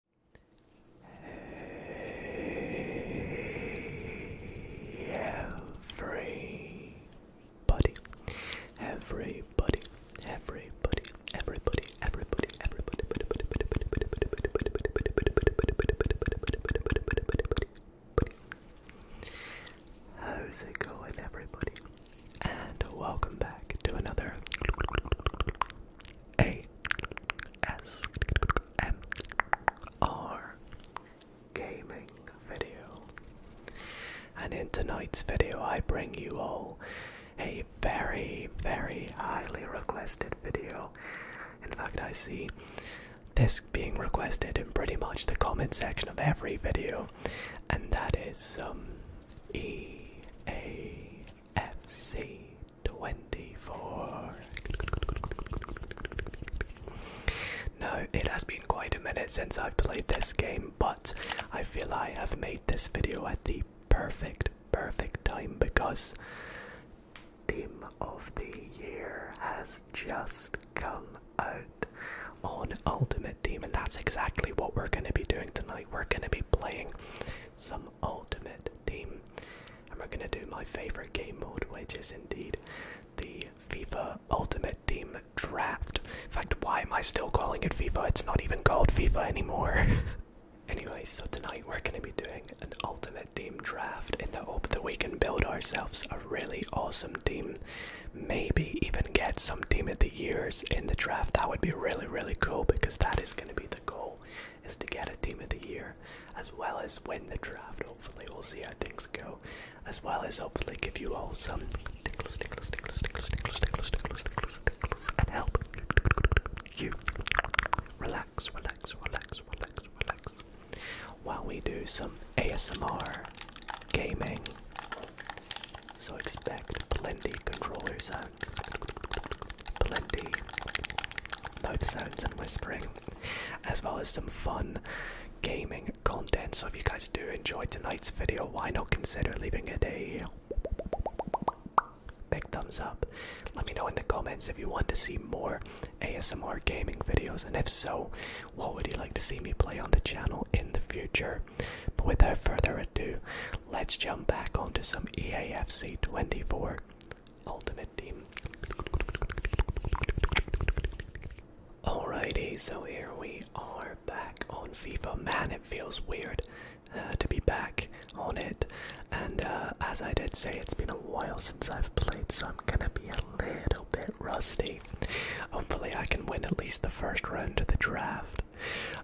Hey everybody, everybody, everybody, everybody, everybody, everybody, How's it going everybody? And welcome back to another a S M R gaming video. And in tonight's video, I bring you all a very, very highly requested video. In fact, I see this being requested in pretty much the comment section of every video, and that is um, EAFC 24. Now, it has been quite a minute since I've played this game, but I feel I have made this video at the perfect, perfect time because Team of the Year has just come out on Ultimate Team, and that's exactly what we're going to be doing tonight. We're going to be playing some Ultimate Team. And we're going to do my favorite game mode, which is indeed the FIFA Ultimate Team Draft. In fact, why am I still calling it FIFA? It's not even called FIFA anymore. anyway, so tonight we're going to be doing an Ultimate Team Draft in the hope that we can build ourselves a really awesome team. Maybe even get some Team of the Years in the draft. That would be really, really cool because that is going to be the goal is to get a team of the year, as well as win the draft. Hopefully, we'll see how things go, as well as hopefully give you all some tickles, tickles, tickles, tickles, tickles, tickles, tickles, tickles, tickles, and help you relax, relax, relax, relax, relax, while we do some ASMR gaming. So expect plenty controller sounds plenty both sounds and whispering, as well as some fun gaming content. So if you guys do enjoy tonight's video, why not consider leaving it a big thumbs up? Let me know in the comments if you want to see more ASMR gaming videos, and if so, what would you like to see me play on the channel in the future? without further ado, Let's jump back onto some EAFC 24 Ultimate Team. Alrighty, so here we are back on FIFA. Man, it feels weird uh, to be back on it. And uh, as I did say, it's been a while since I've played, so I'm gonna be a little bit rusty. Hopefully, I can win at least the first round of the draft.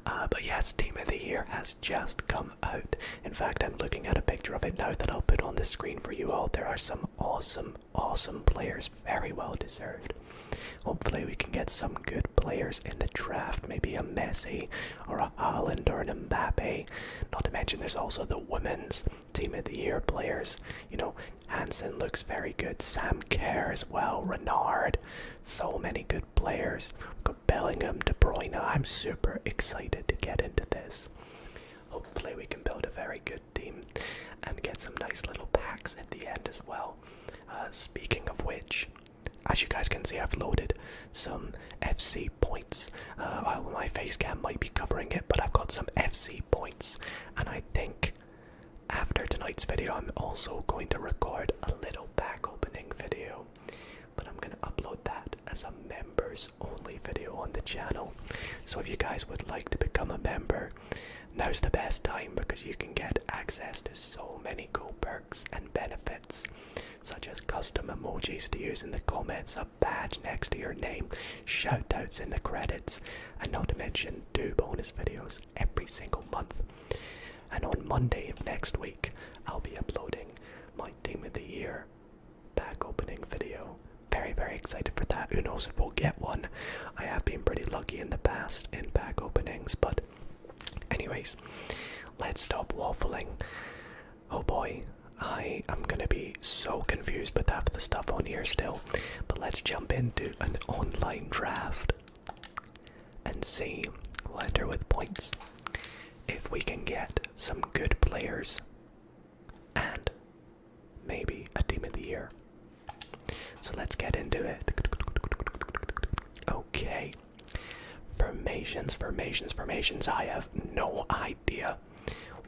Uh, but yes, Team of the Year has just come out. In fact, I'm looking at a picture of it now that I'll put on the screen for you all. There are some awesome, awesome players, very well deserved. Hopefully, we can get some good players in the draft, maybe a Messi or a Haaland or an Mbappe. Not to mention, there's also the women's Team of the Year players. You know, Hansen looks very good, Sam Kerr as well, Renard. So many good players. Got Bellingham, De Bruyne. I'm super excited to get into this. Hopefully, we can build a very good team and get some nice little packs at the end as well. Uh, speaking of which, as you guys can see, I've loaded some FC points. Uh, oh, my face cam might be covering it, but I've got some FC points, and I think after tonight's video, I'm also going to record a little pack opening video but I'm gonna upload that as a members only video on the channel. So if you guys would like to become a member, now's the best time because you can get access to so many cool perks and benefits, such as custom emojis to use in the comments, a badge next to your name, shoutouts in the credits, and not to mention two bonus videos every single month and on Monday next week, I'll be uploading my Team of the Year pack opening video. Very, very excited for that. Who knows if we'll get one? I have been pretty lucky in the past in pack openings, but, anyways, let's stop waffling. Oh boy, I am gonna be so confused with half the stuff on here still, but let's jump into an online draft and see Letter with points. If we can get some good players and maybe a team of the year. So let's get into it. Okay. Formations, formations, formations. I have no idea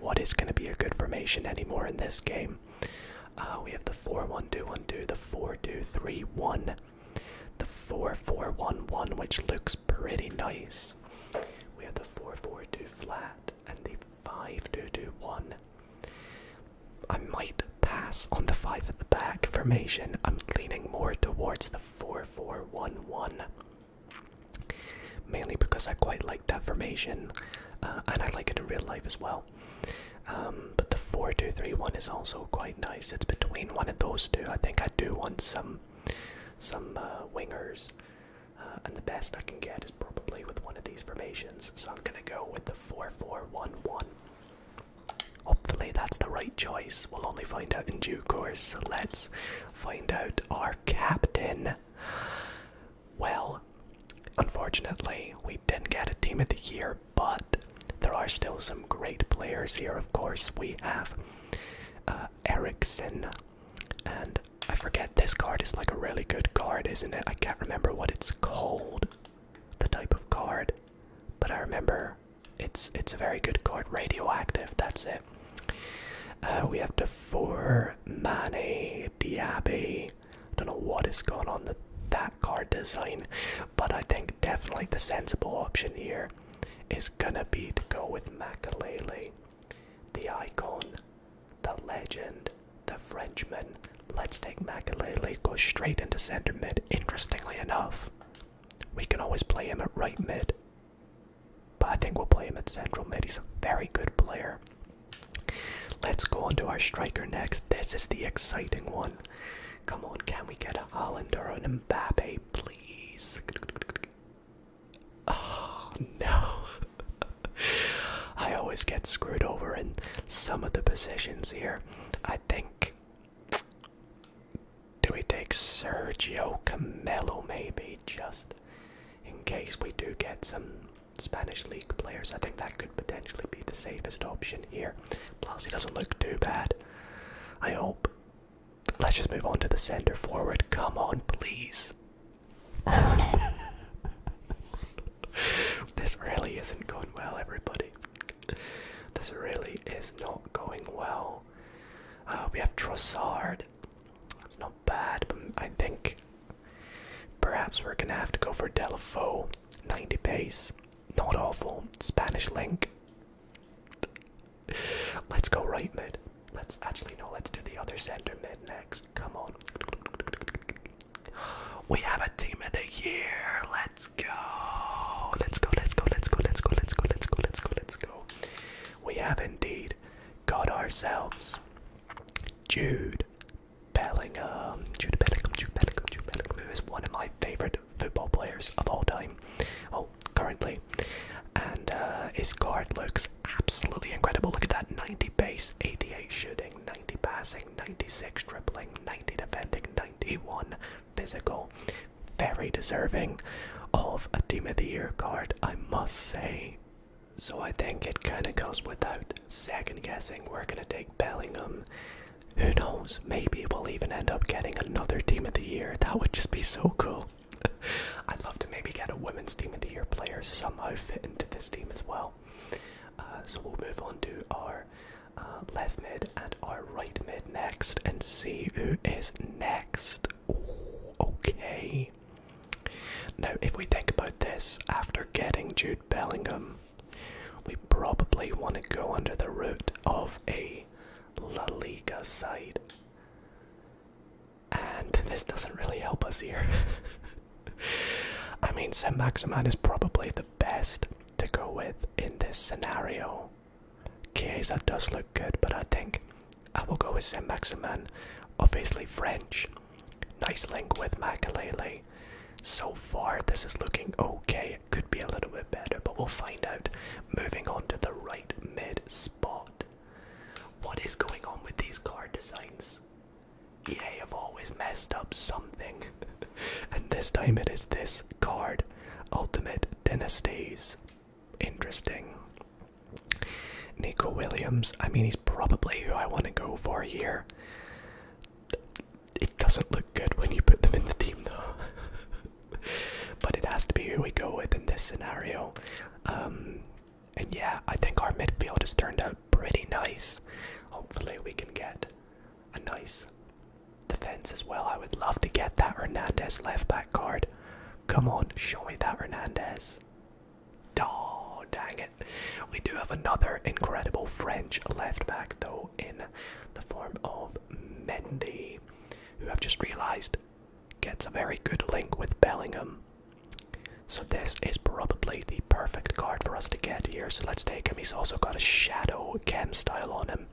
what is going to be a good formation anymore in this game. Uh, we have the 4 1 2 1 2, the 4 2 3 1 the 4411, which looks pretty nice. We have the 442 flat and the 5221. I might pass on the 5 at the back formation. I'm leaning more towards the 4411. Mainly because I quite like that formation, uh, and I like it in real life as well. Um, but the 4231 is also quite nice. It's between one of those two. I think I do want some some uh, wingers, uh, and the best I can get is probably with one of these formations. So I'm gonna go with the four-four-one-one. Hopefully that's the right choice. We'll only find out in due course. let's find out our captain. Well, unfortunately, we didn't get a team of the year but there are still some great players here. Of course, we have uh, Ericsson, and I forget this card is like a really good card, isn't it? I can't remember what it's called, the type of card, but I remember it's it's a very good card. Radioactive, that's it. Uh, we have Defour, Mane, Diaby. Don't know what has gone on the, that card design, but I think definitely the sensible option here is is gonna be to go with Makalele, the icon, the legend, the Frenchman. Let's take Makalele, go straight into center mid. Interestingly enough, we can always play him at right mid, but I think we'll play him at central mid. He's a very good player. Let's go on to our striker next. This is the exciting one. Come on, can we get a Holland or an Mbappe, please. Oh no. I always get screwed over in some of the positions here. I think. Do we take Sergio Camello? maybe just in case we do get some Spanish league players? I think that could potentially be the safest option here. Plus, he doesn't look too bad. I hope. Let's just move on to the center forward. Come on, please. this really isn't going well, everybody. This really is not going well. Uh, we have Trossard. That's not bad, but I think perhaps we're gonna have to go for Delafoe. 90 pace. Not awful. Spanish link. Let's go right mid. Let's actually no, let's do the other center mid next. Come on. We have a team of the year. Let's go. Let's go, let's go, let's go, let's go, let's go, let's go, let's go, let's go. We have indeed got ourselves Jude Bellingham. Jude Bellingham, Jude Bellingham, Jude Bellingham, who is one of my favorite football players of all time, oh, currently. And uh, his card looks absolutely incredible. Look at that 90 base, 88 shooting, 90 passing, 96 dribbling, 90 defending, 91 physical. Very deserving of a Team of the Year card, I must say. So I think it kind of goes without second guessing. We're going to take Bellingham. Who knows? Maybe we'll even end up getting another team of the year. That would just be so cool. I'd love to maybe get a women's team of the year player somehow fit into this team as well. Uh, so we'll move on to our uh, left mid and our right mid next and see who is next. okay. Now, if we think about this, after getting Jude Bellingham, we probably want to go under the route of a a La Liga side. And this doesn't really help us here. I mean, Saint Maximan is probably the best to go with in this scenario. Chiesa does look good, but I think I will go with Saint Maximan. Obviously, French. Nice link with Makalele. So far, this is looking okay could be a little bit better, but we'll find out. Moving on to the right mid spot. What is going on with these card designs? EA have always messed up something. and this time it is this card Ultimate Dynasties. Interesting. Nico Williams, I mean, he's probably who I want to go for here it doesn't look good when you put them in the team though. but it has to be who we go with in this scenario. Um, and yeah, I think our midfield has turned out pretty nice. Hopefully, we can get a nice defense as well. I would love to get that Hernandez left back card. Come on, show me that Hernandez. Oh, dang it. We do have another incredible French left back, though in the form of Mendy, who I've just realised gets a very good link with Bellingham. So this is probably the perfect card for us to get here. So let's take him. He's also got a shadow chem style on him.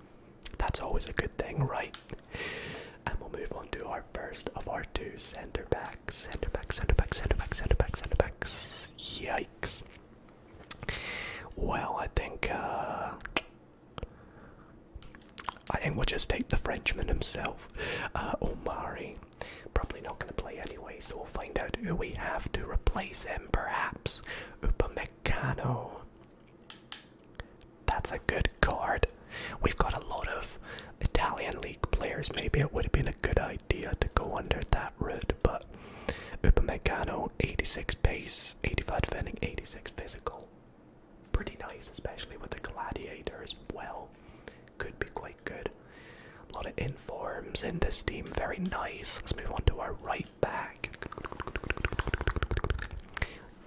That's always a good thing, right? And we'll move on to our first of our two centre backs. Centre backs, centre backs, centre backs, centre backs, centre backs. Yikes. Well, I think uh, I think we'll just take the Frenchman himself, uh, Omari. Probably not going to play anyway, so we'll find out who we have to replace him. Perhaps Upamecano. That's a good card. We've got a lot of Italian league players. Maybe it would have been a good idea to go under that route, but Upamecano, 86 pace, 85 defending, 86 physical. Pretty nice, especially with the gladiator as well. Could be quite good. A lot of informs in this team, very nice. Let's move on to our right back.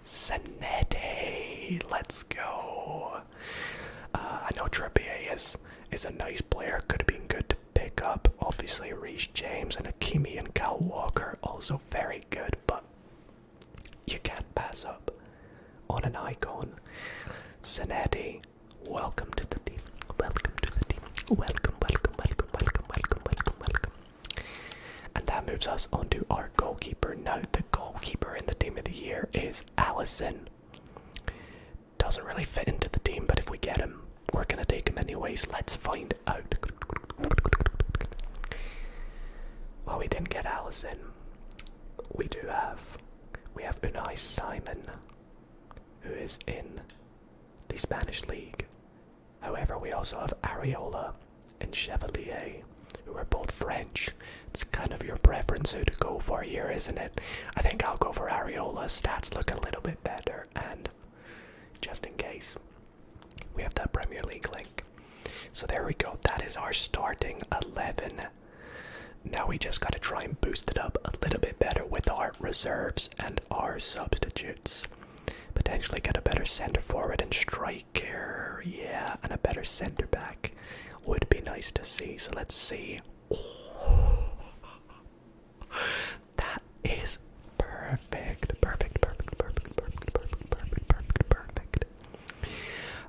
Senete, let's go. Uh, I know Trippier is is a nice player, could have been good pick up. Obviously, Reece James and Akimi and Cal Walker also very good, but you can't pass up on an icon. Zanetti, welcome to the team. Welcome to the team. Welcome, welcome, welcome, welcome, welcome, welcome, welcome. And that moves us on to our goalkeeper. Now, the goalkeeper in the team of the year is Allison. Doesn't really fit into the team, but if we get him, we're gonna take him anyways. Let's find out. Well, we didn't get Allison. We do have. We have Unai Simon, who is in the Spanish league. However, we also have Areola and Chevalier, who are both French. It's kind of your preference who to go for here, isn't it? I think I'll go for Areola. Stats look a little bit better, and just in case we have that Premier League link. So there we go. That is our starting 11. Now we just got to try and boost it up a little bit better with our reserves and our substitutes. Potentially get a better center forward and striker. Yeah, and a better center back would be nice to see. So let's see. That is perfect. Perfect, perfect, perfect, perfect, perfect, perfect, perfect, perfect.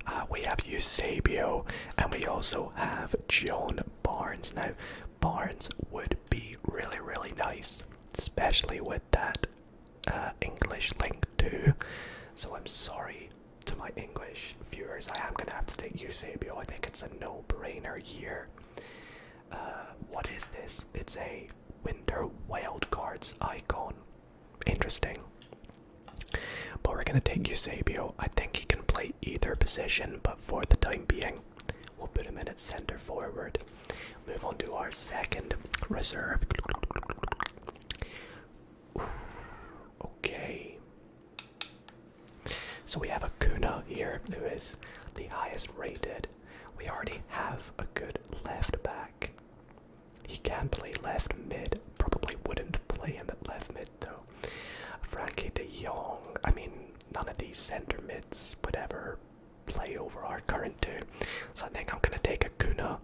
Uh, we have Eusebio and we also have Joan Barnes. Now, Barnes would be really, really nice, especially with that uh, English link too. So I'm sorry to my English viewers, I am gonna have to take Eusebio. I think it's a no-brainer here. Uh, what is this? It's a winter Wild wildcards icon. Interesting. But we're gonna take Eusebio. I think he can play either position, but for the time being, we'll put him in at center forward. Move on to our second reserve. okay. So we have a Kuna here, who is the highest rated we already have a good left back. He can play left mid. Probably wouldn't play in the left mid though. Frankie de Jong. I mean, none of these center mids would ever play over our current two. So I think I'm going to take a Acuna.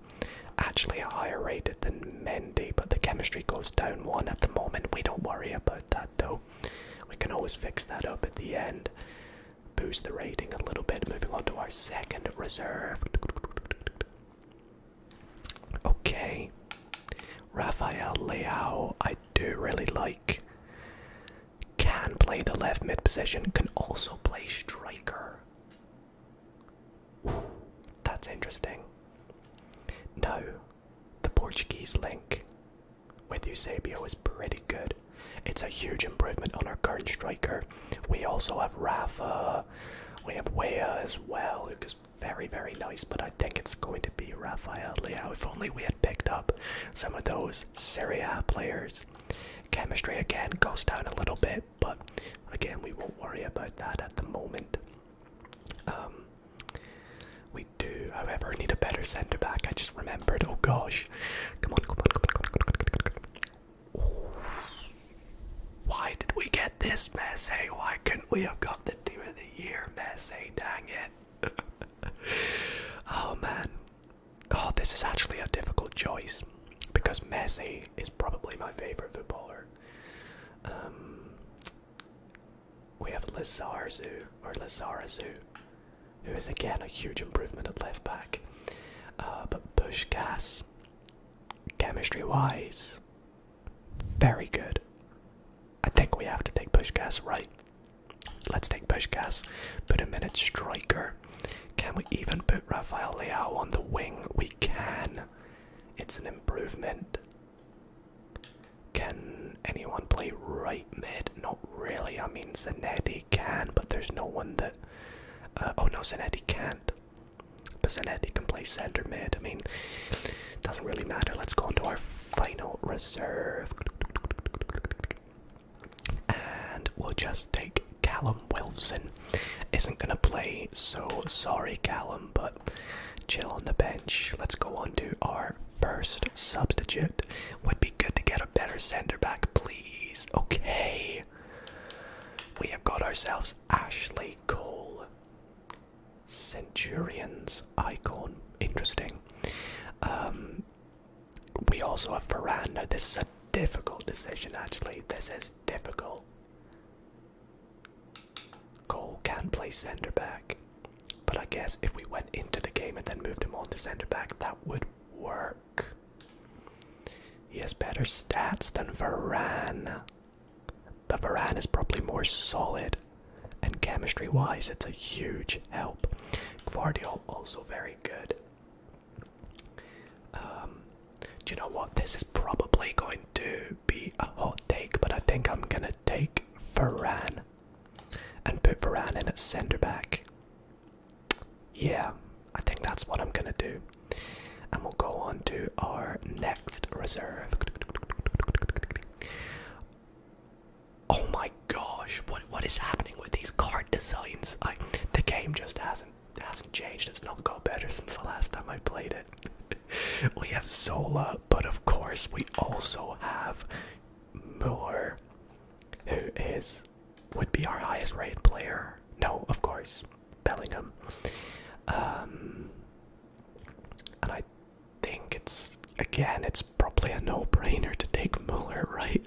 Actually, a higher rated than Mendy, but the chemistry goes down one at the moment. We don't worry about that though. We can always fix that up at the end boost the rating a little bit. Moving on to our second reserve. Okay. Rafael Leao, I do really like. Can play the left mid position, can also play striker. that's interesting. Now, the Portuguese link with Eusebio is pretty good. It's a huge improvement on our current striker. We also have Rafa, we have Wea as well, who is very, very nice, but I think it's going to be Rafael Leao. If only we had picked up some of those Serie A players. Chemistry again goes down a little bit, but again, we won't worry about that at the moment. Um, we we do, however, need a better centre back. I just remembered. Oh gosh. Come on, come on, come on, come on, come on, come on, come on. Oh. Why did we get this Messi? Eh? Why couldn't we have got the team of the year, Messi? Eh? Dang it. oh man. Oh, this is actually a difficult choice because Messi is probably my favorite footballer. Um, we have Lizarazu or Lizarazu who is again a huge improvement at left back. Uh, but Pushkas, chemistry wise, very good. I think we have to take Pushkas right. Let's take Pushkas, put him in at striker. Can we even put Rafael Leao on the wing? We can. It's an improvement. Can anyone play right mid? Not really. I mean, Zanetti can, but there's no one that. Uh, oh no, Zanetti can't. But Zanetti can play center mid. I mean, it doesn't really matter. Let's go into our final reserve. And we'll just take Callum Wilson. Isn't gonna play, so sorry, Callum, but chill on the bench. Let's go on to our first substitute. Would be good to get a better center back, please. Okay. We have got ourselves Ashley Cole. Centurions icon. Interesting. Um, we also have Veranda. This is a difficult decision, actually. This is difficult. Cole can play centre back. But I guess if we went into the game and then moved him on to centre back, that would work. He has better stats than Varane. But Varane is probably more solid, and chemistry wise, it's a huge help. Guardiola also very good. Um, do you know what? This is probably going to be a hot take, but I think I'm gonna take Varane and put Varan in at centre back. Yeah, I think that's what I'm gonna do. And we'll go on to our next reserve. Oh my gosh, what what is happening with these card designs? the game just hasn't hasn't changed. It's not got better since the last time I played it. we have Zola, but of course we also have Moore, who is would be our highest rated player. No, of course, Bellingham. Um, and I think it's again, it's probably a no-brainer to take Mueller, right?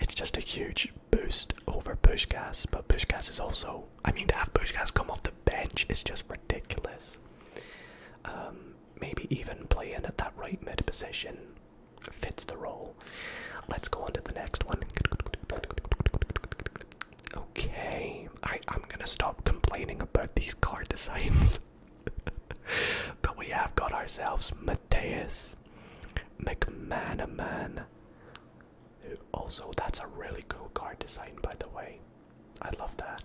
it's just a huge boost over Pushkas, but Pushkas is also. I mean, to have Pushkas come off the bench is just ridiculous. Um, maybe even playing at that right mid position fits the role. Let's go on to the next one. Okay, I, am gonna stop complaining about these card designs. but we have got ourselves Matthias McManaman. Also, that's a really cool card design, by the way. I love that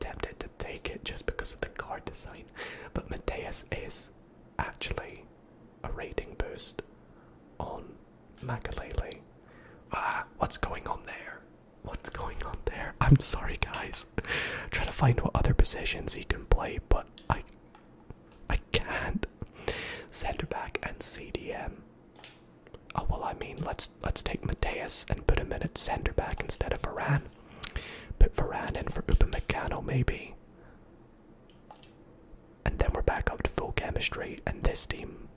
tempted to take it just because of the card design, but Mateus is actually a rating boost on Makalele. Ah, what's going on there? What's going on there? I'm sorry, guys. Trying to find what other positions he can play, but I, I can't. Centre back and CDM. Oh well, I mean, let's let's take Mateus and put him in at centre back instead of Iran. Put Varane in for Upamecano maybe. And then we're back up to full chemistry and this team,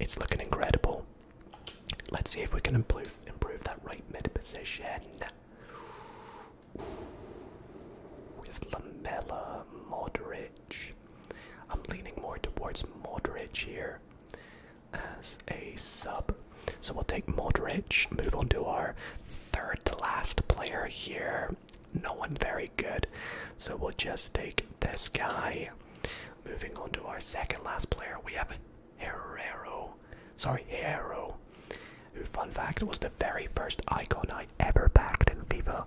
it's looking incredible. Let's see if we can improve improve that right mid position. with Lamella, Modric. I'm leaning more towards Modric here as a sub. So we'll take Modric, move on to our third to last player here. No one very good. So we'll just take this guy. Moving on to our second last player, we have Herrero. Sorry, Hero. Who, fun fact, was the very first icon I ever backed in FIFA.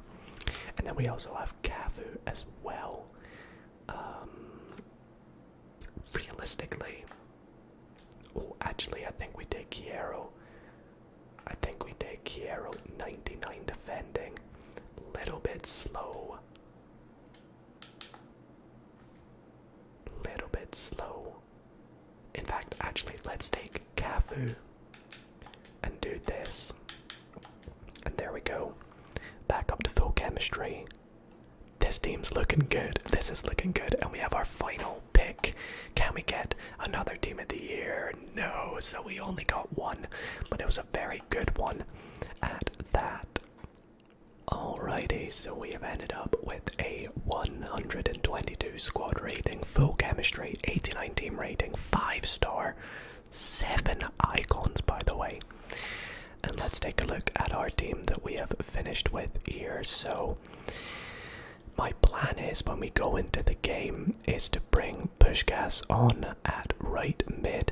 And then we also have Cafu as well. Um, realistically. Oh, actually, I think we take Kiero. I think we take Kiero 99 defending. Little bit slow. Little bit slow. In fact, actually, let's take Cafu and do this. And there we go. Back up to full chemistry. This team's looking good. This is looking good. And we have our final pick. Can we get another team of the year? No. So we only got one, but it was a very good one at that. Alrighty, so we have ended up with a 122 squad rating, full chemistry, 89 team rating, 5 star, 7 icons by the way. And let's take a look at our team that we have finished with here. So, my plan is when we go into the game is to bring Pushgas on at right mid.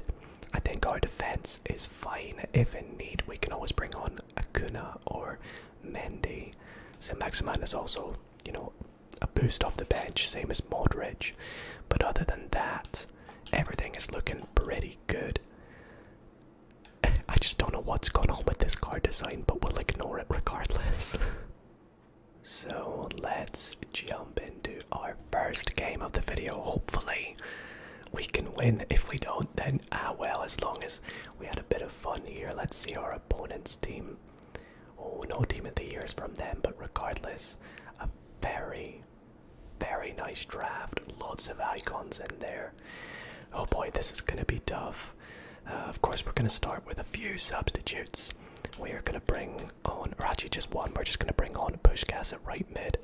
I think our defense is fine. If in need, we can always bring on Akuna or Mendy. St. Maximan is also, you know, a boost off the bench, same as Modric. But other than that, everything is looking pretty good. I just don't know what's going on with this car design, but we'll ignore it regardless. so let's jump into our first game of the video. Hopefully, we can win. If we don't, then ah well, as long as we had a bit of fun here. Let's see our opponent's team. Oh, no team of the year is from them, but regardless, a very very, nice draft. Lots of icons in there. Oh boy, this is going to be tough. Uh, of course, we're going to start with a few substitutes. We are going to bring on, or actually just one, we're just going to bring on Pushkas at right mid.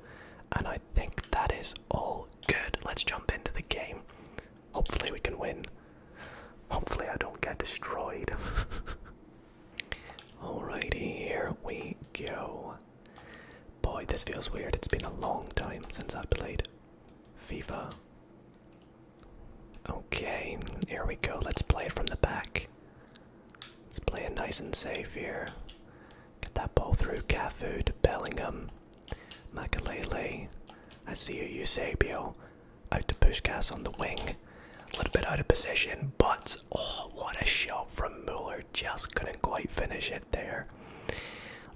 And I think that is all good. Let's jump into the game. Hopefully, we can win. Hopefully, I don't get destroyed. Alrighty, here we go. Boy, this feels weird. It's been a long time since I played FIFA. Okay, here we go. Let's play it from the back. Let's play it nice and safe here. Get that ball through Cafu to Bellingham. Makalele. I see you, Eusebio. Out to push Pushkas on the wing. A little bit out of position, but oh, what a shot from Muller. Just couldn't quite finish it there.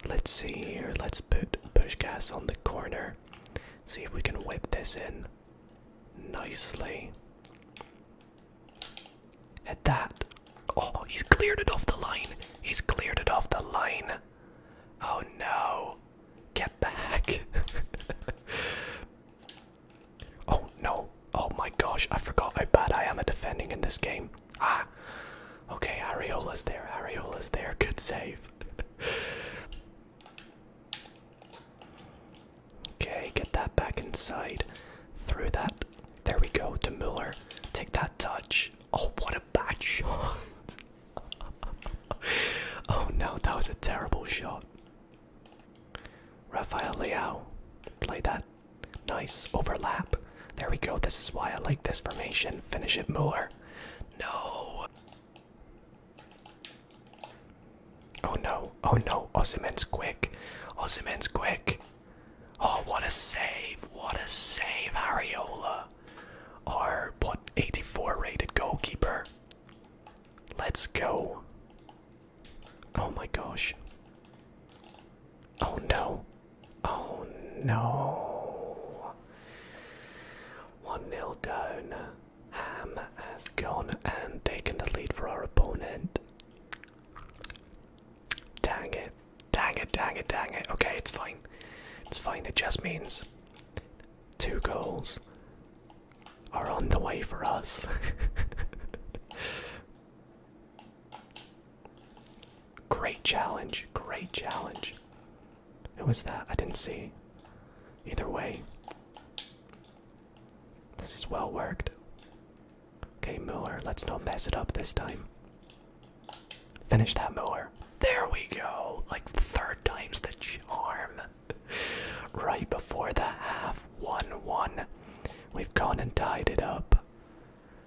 Let's see here. Let's put push gas on the corner. See if we can whip this in nicely. At that. Oh, he's cleared it off the line. He's cleared it off the line. Oh no. Get back. oh no. Oh my gosh, I forgot how bad I am at defending in this game. Ah! Okay, Ariola's there, Ariola's there, good save. okay, get that back inside. Through that. There we go, to Muller. Take that touch. Oh, what a bad shot! oh no, that was a terrible shot. Rafael Leao, play that Nice overlap. There we go. This is why I like this formation. Finish it, Mueller. No. Oh no. Oh no. Osimhen's quick. Osimhen's quick. Oh, what a save. What a save, Ariola. Our, what, 84 rated goalkeeper. Let's go. Oh my gosh. Oh no. Oh no. 1 0 down. Ham has gone and taken the lead for our opponent. Dang it. Dang it, dang it, dang it. Okay, it's fine. It's fine. It just means two goals are on the way for us. Great challenge. Great challenge. Who was that? I didn't see. Either way, this is well worked. Okay, Mower, let's not mess it up this time. Finish that Mower. There we go! Like third time's the charm. right before the half. 1 1. We've gone and tied it up.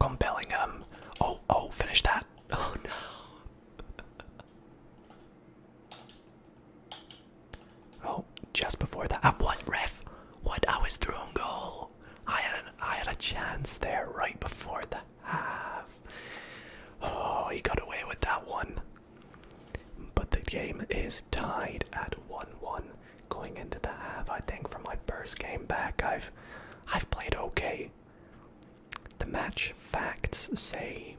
Compelling um oh oh finish that. Oh no. oh, just before that. Uh, what ref? What I was through on goal. I had I had a chance there right before the half. Oh, he got away with that one. But the game is tied at 1 1 going into the half. I think from my first game back, I've I've played okay. The match facts say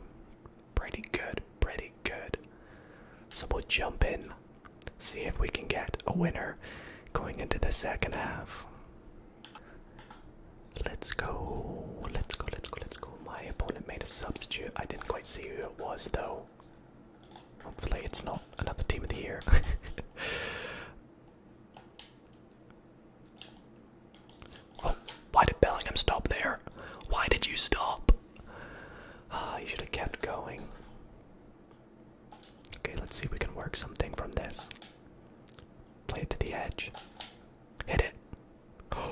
pretty good, pretty good. So we'll jump in, see if we can get a winner going into the second half. Let's go, let's go, let's go, let's go. My opponent made a substitute. I didn't quite see who it was though. Hopefully, it's not another team of the year. why did Bellingham stop there? Why did you stop? Ah, you should have kept going. Okay, let's see if we can work something from this. Play it to the edge. Hit it.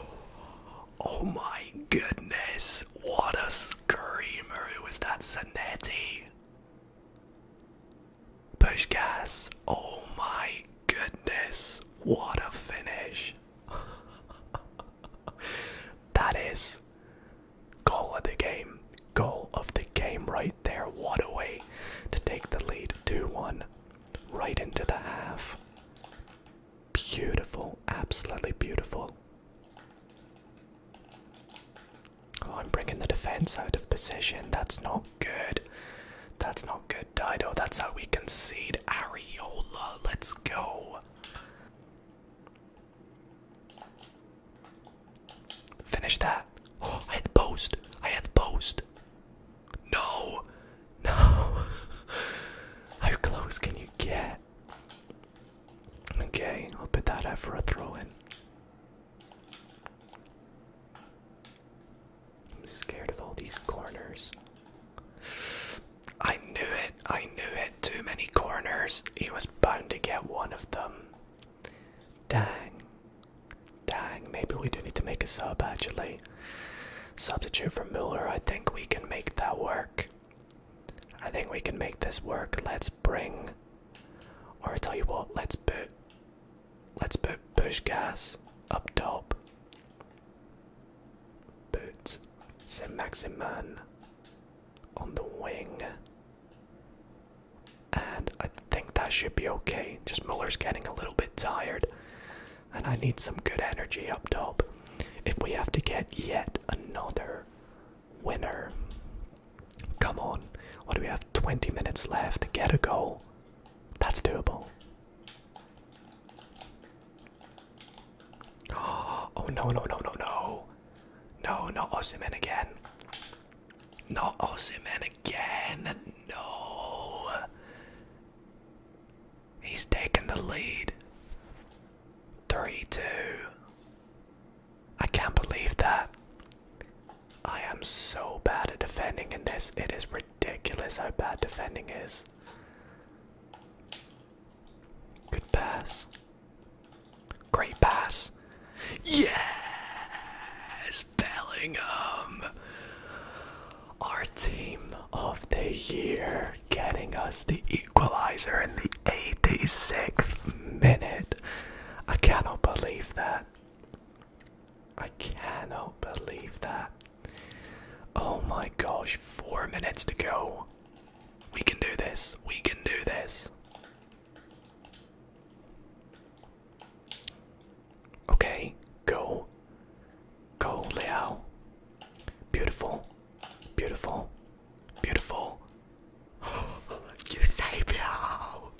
Oh my goodness! What a screamer! Who was that? Zanetti? Push Oh my goodness. What a finish. that is goal of the game. Goal of the game right there. What a way to take the lead 2 1 right into the half. Beautiful. Absolutely beautiful. Oh, I'm bringing the defense out of position. That's not good. That's not good, Dido. That's how we concede. Areola, let's go. Finish that. Oh, I hit the post. I hit the post. No. No. How close can you get? Okay, I'll put that out for a throw in. I'm scared of all these corners. I knew it. I knew it. Too many corners. He was bound to get one of them. Dang. Dang. Maybe we do need to make a sub actually. Substitute for Mueller. I think we can make that work. I think we can make this work. Let's bring or I tell you what, let's put let's put push gas up top. Put Saint Maximin on the wing. And I think that should be okay. Just Muller's getting a little bit tired. And I need some good energy up top. If we have to get yet another winner, Come on. What do we have? 20 minutes left. Get a goal. That's doable. Oh no no no no no. No, not Osiman again. Not Osiman again. No. He's taken the lead. 3 2. I can't believe that. I am so bad at defending in this. It is ridiculous how bad defending is. Good pass. Great pass. Yes! Bellingham! Our team of the year getting us the equalizer in the 86th minute. I cannot believe that. I cannot believe that. Oh my gosh, four minutes to go. We can do this. We can do this. Okay, go. Go, Liao. Beautiful. Beautiful. Beautiful. Eusebio!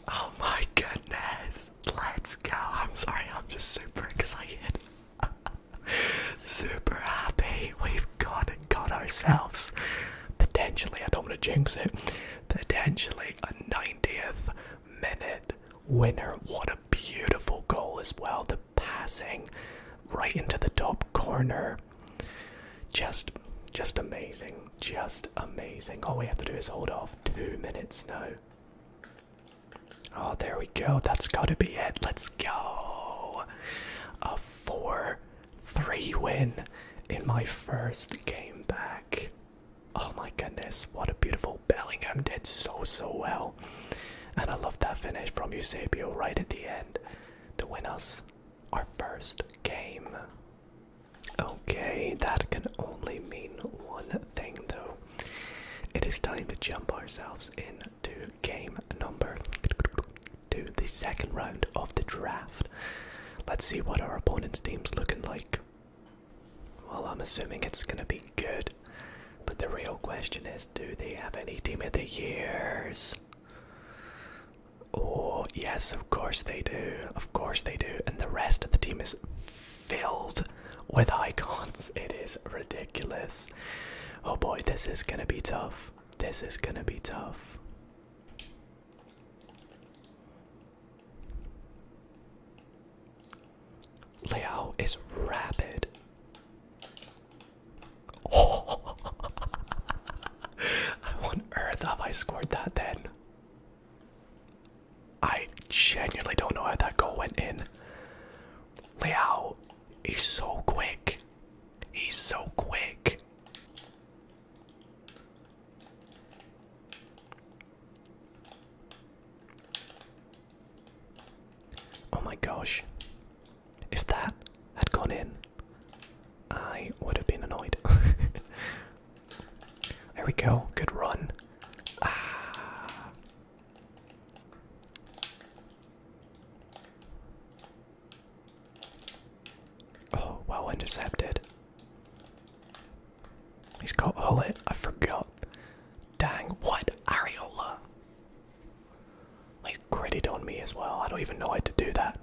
Oh my goodness! Let's go! I'm sorry, I'm just super excited. super happy. We've got got ourselves potentially, I don't want to jinx it, potentially a 90th minute winner. What a beautiful goal as well. The passing right into the top corner. Just, just amazing. Just amazing. All we have to do is hold off two minutes now. Oh, there we go. That's got to be it. Let's go. A 4-3 win in my first game back. Oh my goodness, what a beautiful Bellingham did so, so well. And I love that finish from Eusebio right at the end to win us our first game. Okay, that can only mean one thing though. It is time to jump ourselves into game number two, the second round of the draft. Let's see what our opponent's team's looking like. Well, I'm assuming it's gonna be good, but the real question is do they have any team of the years? Oh, yes, of course they do. Of course they do. And the rest of the team is filled with icons. It is ridiculous. Oh boy, this is gonna be tough. This is gonna be tough. Liao is rapid. Oh. on earth have I scored that then? I genuinely don't know how that goal went in. Leao, he's so quick. He's so quick. Oh my gosh. If that had gone in, I would have been annoyed. there we go. Good run. Ah. Oh, well intercepted. He's got Hullet. I forgot. Dang, what? Areola. He's gritted on me as well. I don't even know how to do that.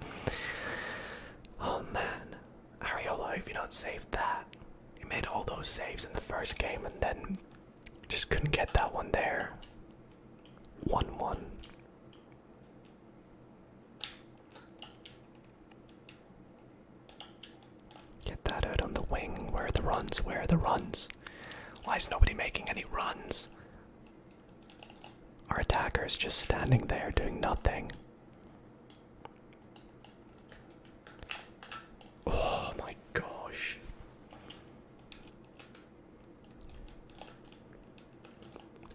Oh man. Ariola, if you do not save that, you made all those saves in the first game and then just couldn't get that one there. 1 1. Get that out on the wing. Where are the runs? Where are the runs? Why is nobody making any runs? Our attacker's just standing there doing nothing. Oh my gosh.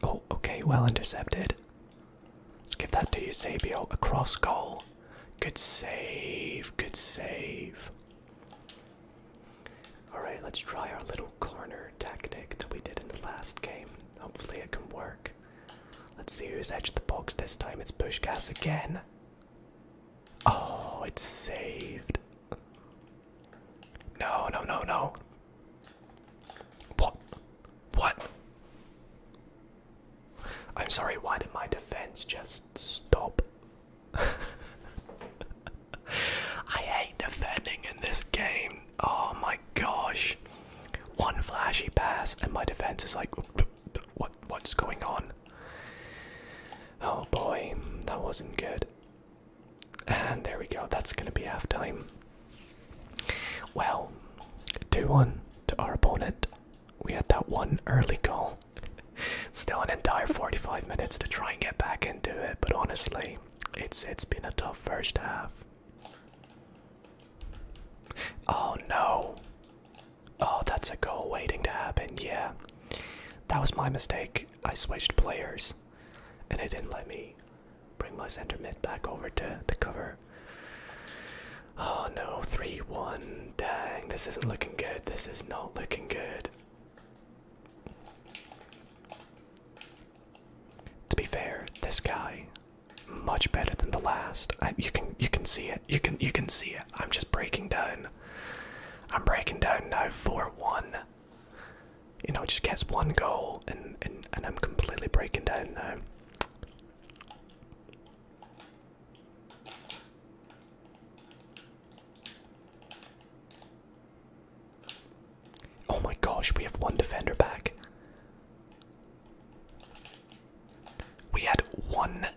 Oh, okay, well intercepted. Let's give that to Eusebio. A cross goal. Good save, good save. Alright, let's try our little corner tactic that we did in the last game. Hopefully it can work. Let's see who's edged the box this time. It's Pushkas again. Oh, it's saved. No, no, no, no. What? What? I'm sorry, why did my defense just stop? I hate defending in this game Oh my gosh. One flashy pass, and my defense is like, what? What's going on? Oh boy, that wasn't good. And there we go. That's gonna be halftime. Well, two-one to our opponent. We had that one early goal. Still an entire 45 minutes to try and get back into it, but honestly, it's it's been a tough first half. Oh no! Oh, that's a goal waiting to happen, yeah. That was my mistake. I switched players and it didn't let me bring my center mid back over to the cover. Oh no, 3 1. Dang, this isn't looking good. This is not looking good. To be fair, this guy much better than the last. you can you can see it. You can you can see it. I'm just breaking down. I'm breaking down now for one. You know, just gets one goal and and and I'm completely breaking down now. Oh my gosh, we have one defender back. We had one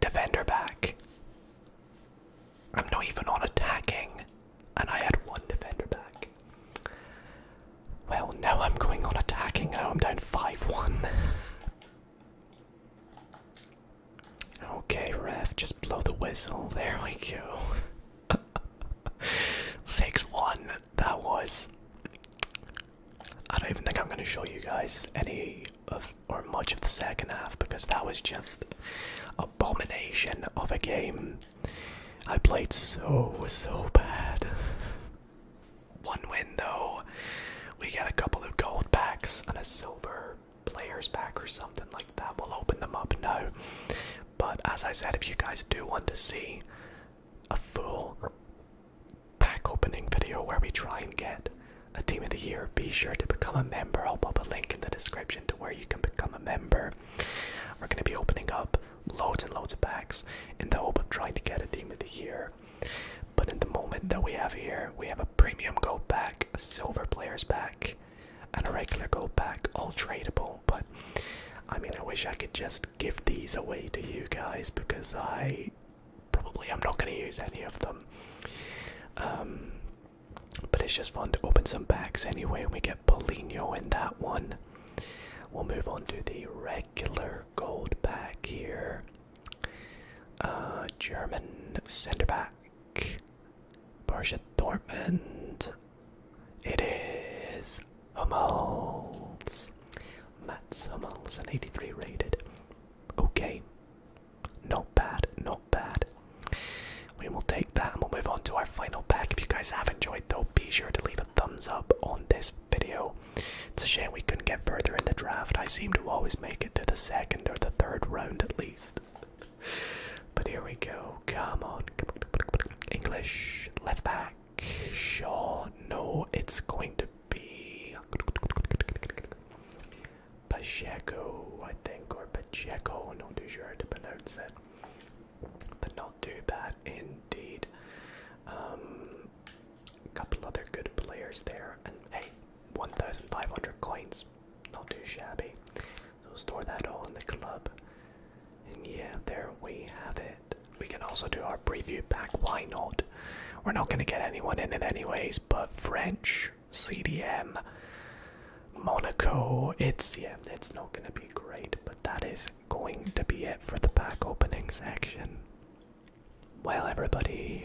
defender back. I'm not even on attacking, and I had one defender back. Well, now I'm going on attacking, Oh, I'm down 5 1. okay, ref, just blow the whistle. There we go. 6-1, that was. I don't even think I'm gonna show you guys any of or much of the second half because that was just abomination of a game. I played so so bad. One win though. We got a couple of gold packs and a silver players pack or something like that. We'll open them up now. But as I said, if you guys do want to see a full pack opening video where we try and get a team of the year, be sure to become a member. I'll pop a link in the description to where you can become a member. We're going to be opening up loads and loads of packs in the hope of trying to get a team of the year. But in the moment that we have here, we have a premium gold pack, a silver players pack, and a regular gold pack, all tradable but I mean, I wish I could just give these away to you guys because I probably am not going to use any of them. Um, but it's just fun to open some packs anyway. We get Polino in that one. We'll move on to the regular gold pack here. Uh, German centre back, Borja Dortmund. It is Hummels. Mats Hummels, an 83 rated. Okay. Not bad, not bad. We will take that and we'll move on to our final pack. If you guys have enjoyed though, be sure to leave a thumbs up on this video. It's a shame we couldn't get further in the draft. I seem to always make it to the second or the third round at least. But here we go. Come on. English. Left back. Sure, No, it's going to be Pacheco, I think, or Pacheco. Not too sure how to pronounce it. But not too bad indeed. a um, couple other good players there. And hey, 1,500 coins. Not too shabby. So store that all in the club. And yeah, there we have it. We can also do our preview pack, why not? We're not gonna get anyone in it anyways, but French, CDM, Monaco, it's yeah, it's not gonna be great, but that is going to be it for the pack opening section. Well everybody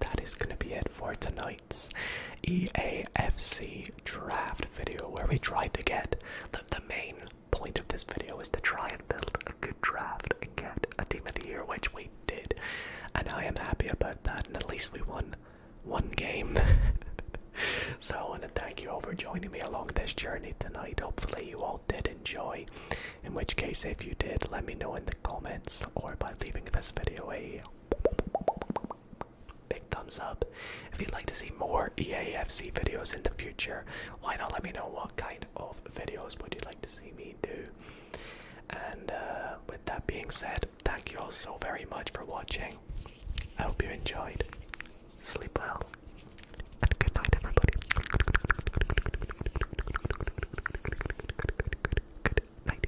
that is gonna be it for tonight's EAFC draft video where we tried to get the, the main point of this video is to try and build a good draft and get a team of the year, which we did. And I am happy about that, and at least we won one game. so I want to thank you all for joining me along this journey tonight. Hopefully, you all did enjoy. In which case, if you did, let me know in the comments or by leaving this video a big thumbs up. If you'd like to see more EAFC videos in the future, why not let me know what kind of videos would you like to see me do? And uh, with that being said, thank you all so very much for watching. I hope you enjoyed. Sleep well. And good night, everybody. Good night.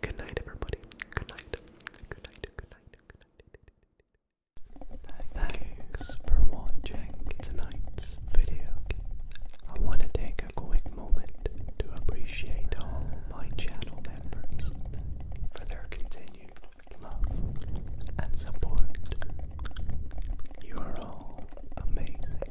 Good night, everybody. Good night. Good night. Good night. Good night. Thanks for watching tonight's video. I want to take a quick moment to appreciate all my channel members for their continued love and support. You are all amazing.